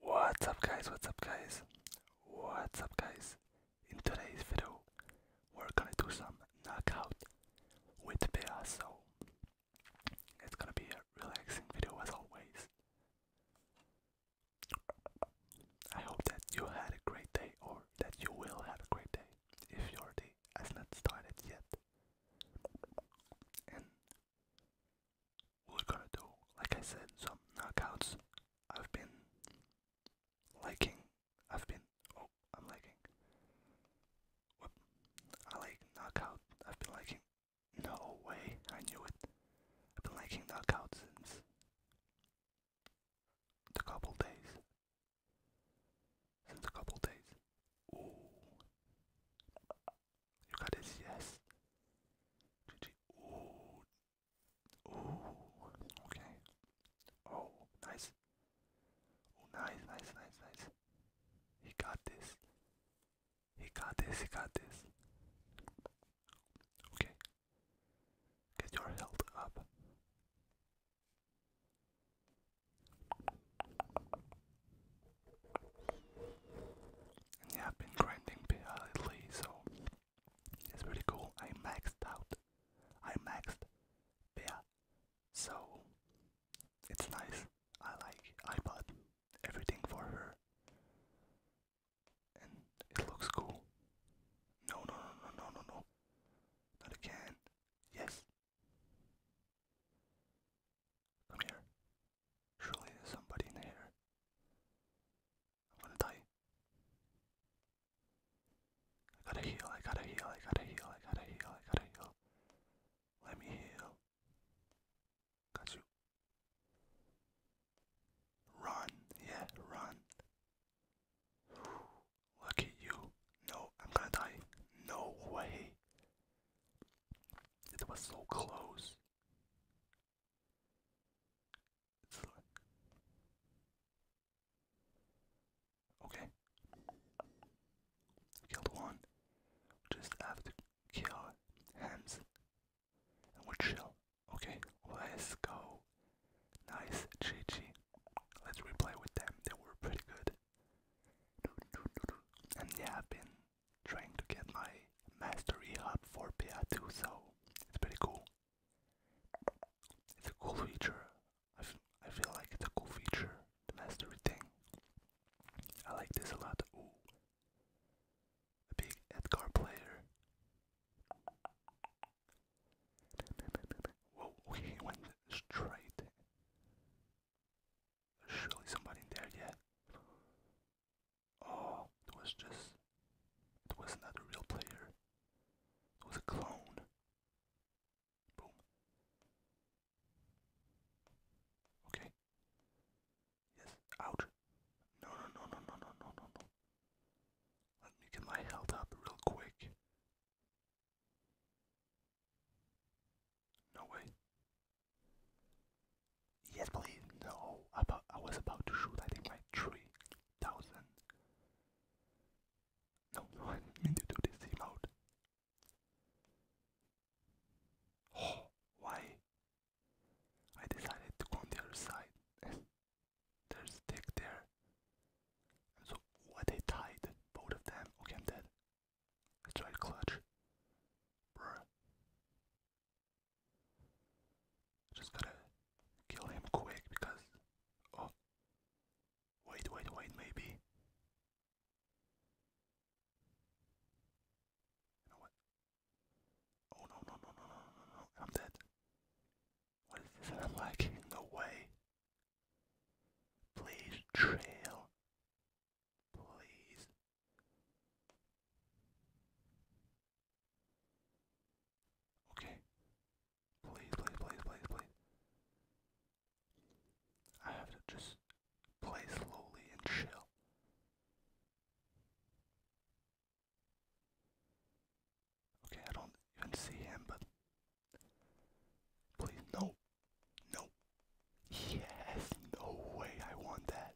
What's up guys, what's up guys, what's up guys. In today's video, we're gonna do some knockout with bears, so it's gonna be a relaxing video as always. I hope that you had a great day or that you will have a great day if your day has not started yet we're gonna do, like I said, some knockouts. I've been liking, I've been, oh, I'm liking. I like knockout, I've been liking, no way, I knew it. I've been liking knockout since a couple days. Since a couple days. Ooh. You got this, yes. Ooh. Ooh. Okay. Oh, nice. Oh, nice, nice, nice, nice. He got this. He got this, he got this. Okay. Get your health up yeah, I've been grinding PL uh, so it's pretty cool. I maxed out. I maxed PL. So it's nice. I like I bought everything for her. And it looks cool. No no no no no no no. Not again. Yes. Come here. Surely there's somebody in here. I'm gonna die. I gotta heal, I gotta heal, I gotta heal, I gotta heal, I gotta heal. Let me heal. Got you. Run, yeah, run. Look at you. No, I'm gonna die. No way. It was so close. It's like Okay. Killed one. Just after kill hands. And we Okay, let's go. Nice, GG. Let's replay with them. They were pretty good. And yeah, been trying to get my mastery up for PA2, so it's pretty cool. It's a cool feature. I, feel like it's a cool feature, the mastery thing. I like this a lot. Ooh. A big Edgar player. Whoa, he went straight. Surely somebody there, yeah. Oh, it was just. It was not a real player. It was a clone. Boom. Okay. Yes. Ouch. No, no, no, no, no, no, no, no, Let me get my health up real quick. No way. Yes, please. No, I was about to shoot. I think my three thousand. No, I didn't mean to do this emote. Oh, why? I decided to go on the other side. There's stick there. so what they tied both of them. Okay, I'm dead. That's right, clutch. Bruh. Just gotta kill him quick because. Oh. Wait, wait, wait, maybe. Oh no, no, no, no, no, no, no. I'm dead. What is this? I'm lagging. No way. Please trail. Please. Okay. Please, please, please, please, please. I have to just play slowly and chill. Okay, I don't even see him, but please, no, Nope. Yes, no way I want that.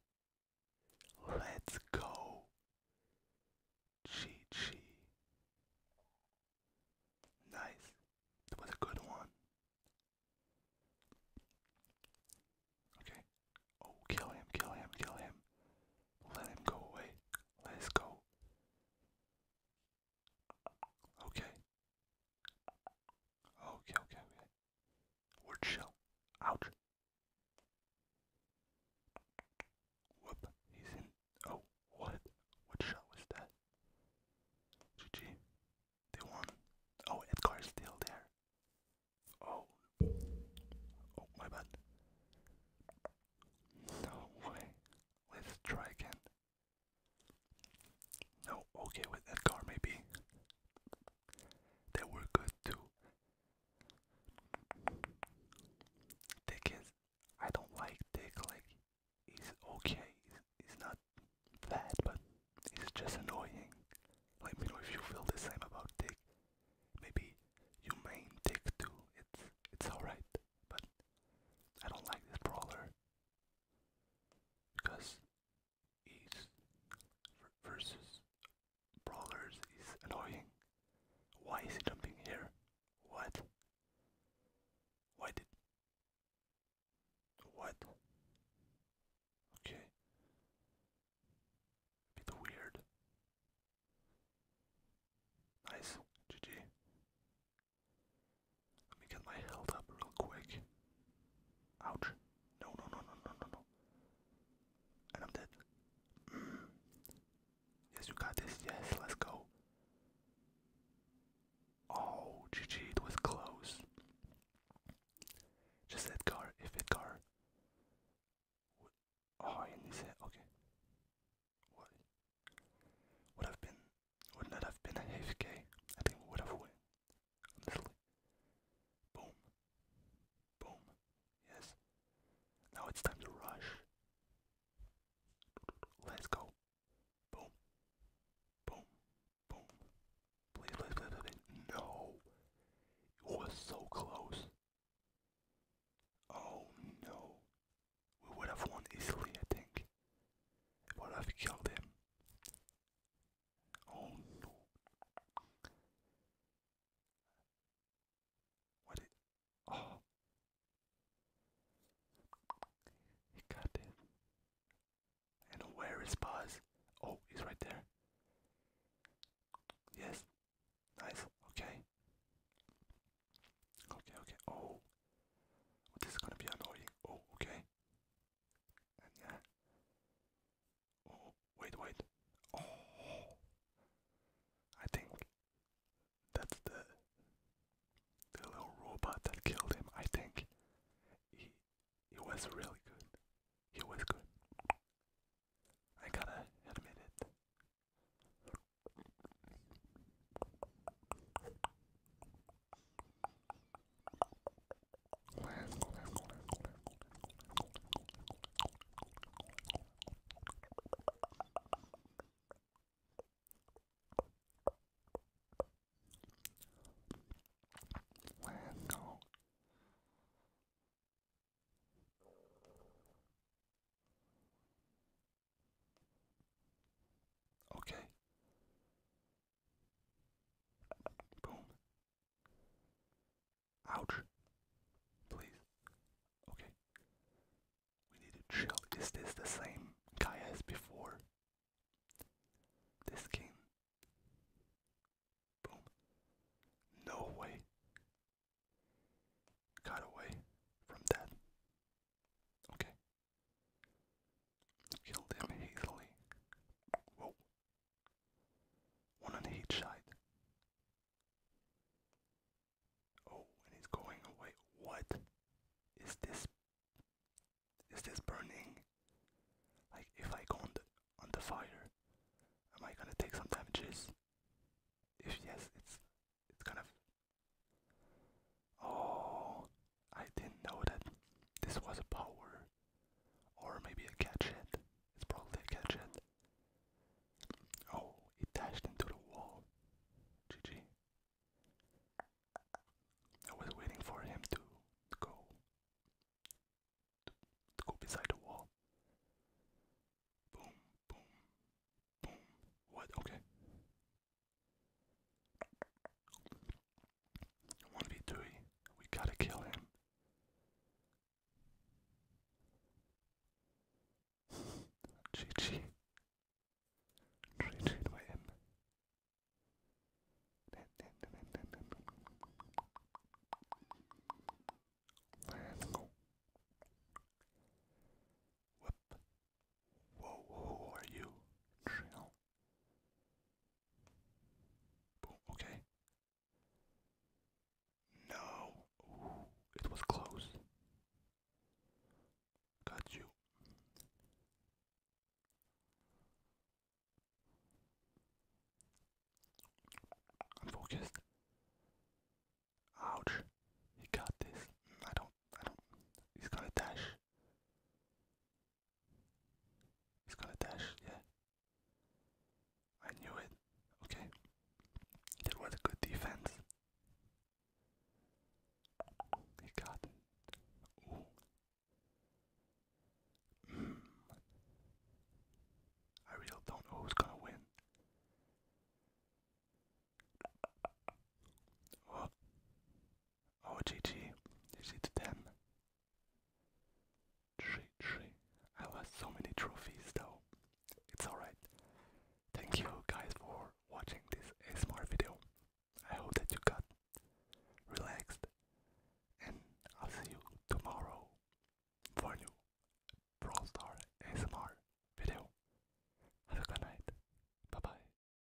Let's go. Chi Chi. Nice. That was a good one. Okay. Oh, kill him, kill him, kill him. Let him go away. Let's go. Okay, okay, okay. Word shell. Ouch. Whoop. He's in. Oh, what? What shot was that? GG. They won. Oh, Edgar's still there. Oh. Oh, my bad. No way. Let's try again. No, okay, with Edgar maybe that were good too. Dick is, I don't like Dick, like, he's okay, he's not bad, but he's just annoying. Let me know if you feel the same about Dick. Maybe you main Dick too, it's, it's alright, but I don't like this brawler. Because is versus brawlers is annoying. Why is he jumping here? What? Why did what? Okay. A bit weird. Nice. GG. Let me get my health up real quick. Ouch. No, no, no, no, no, no, no. And I'm dead. Mm. Yes, you got this. Yes, let's go. Oh, GG, it was close. Just Edgar, if Edgar. Oh, in his head, okay. What? Would have been, would not have been a AFK. I think we would have won. Literally. Boom. Boom. Yes. Now it's time to rush. Let's go. Boom. Boom. Boom. Please, please, please, please. No. It was so close. Oh no. We would have won easily, I think. I would have killed him. Oh no. What oh He got it. And where is Buzz? Oh, he's right there. Yes. Nice. Okay. Okay, okay. Oh. This is gonna be annoying. Oh, okay yeah. Uh, oh, wait, wait. Oh. I think that's the the little robot that killed him. I think he he was really good. He was good. I gotta admit it go. Okay. Boom. Ouch. Please. Okay. We need to chill. Is this the same guy as before? This game. Boom. No way. Got away from that. Okay, Killed him hastily. Whoa. One on each side. Oh, and he's going away. What is this? Is this burning? Like, if I go on the, on the fire, am I gonna take some damages? If yes, it's it's kind of. Oh, I didn't know that this was a power or maybe a gadget. It's probably a gadget. Oh, it dashed into the wall. GG. I was waiting for him to, go to go beside the wall. Boom, boom, boom. What? Okay. One two. We gotta kill him. GG. GG to win. Let's go. Whoa, who are you? Chill. Okay. No. it was close. Got you. I'm focused. Ouch. He got this. I don't I don't he's gonna dash. He's got a dash, yeah. I knew it. Okay. That was a good defense. He got it. Mm. I really don't know who's gonna win. Oh, GG. them? Tree, lost so many trophies though. It's alright. Thank you guys for watching this ASMR video. I hope that you got relaxed. And I'll see you tomorrow for new Brawl ASMR video. Have a good night. Bye bye.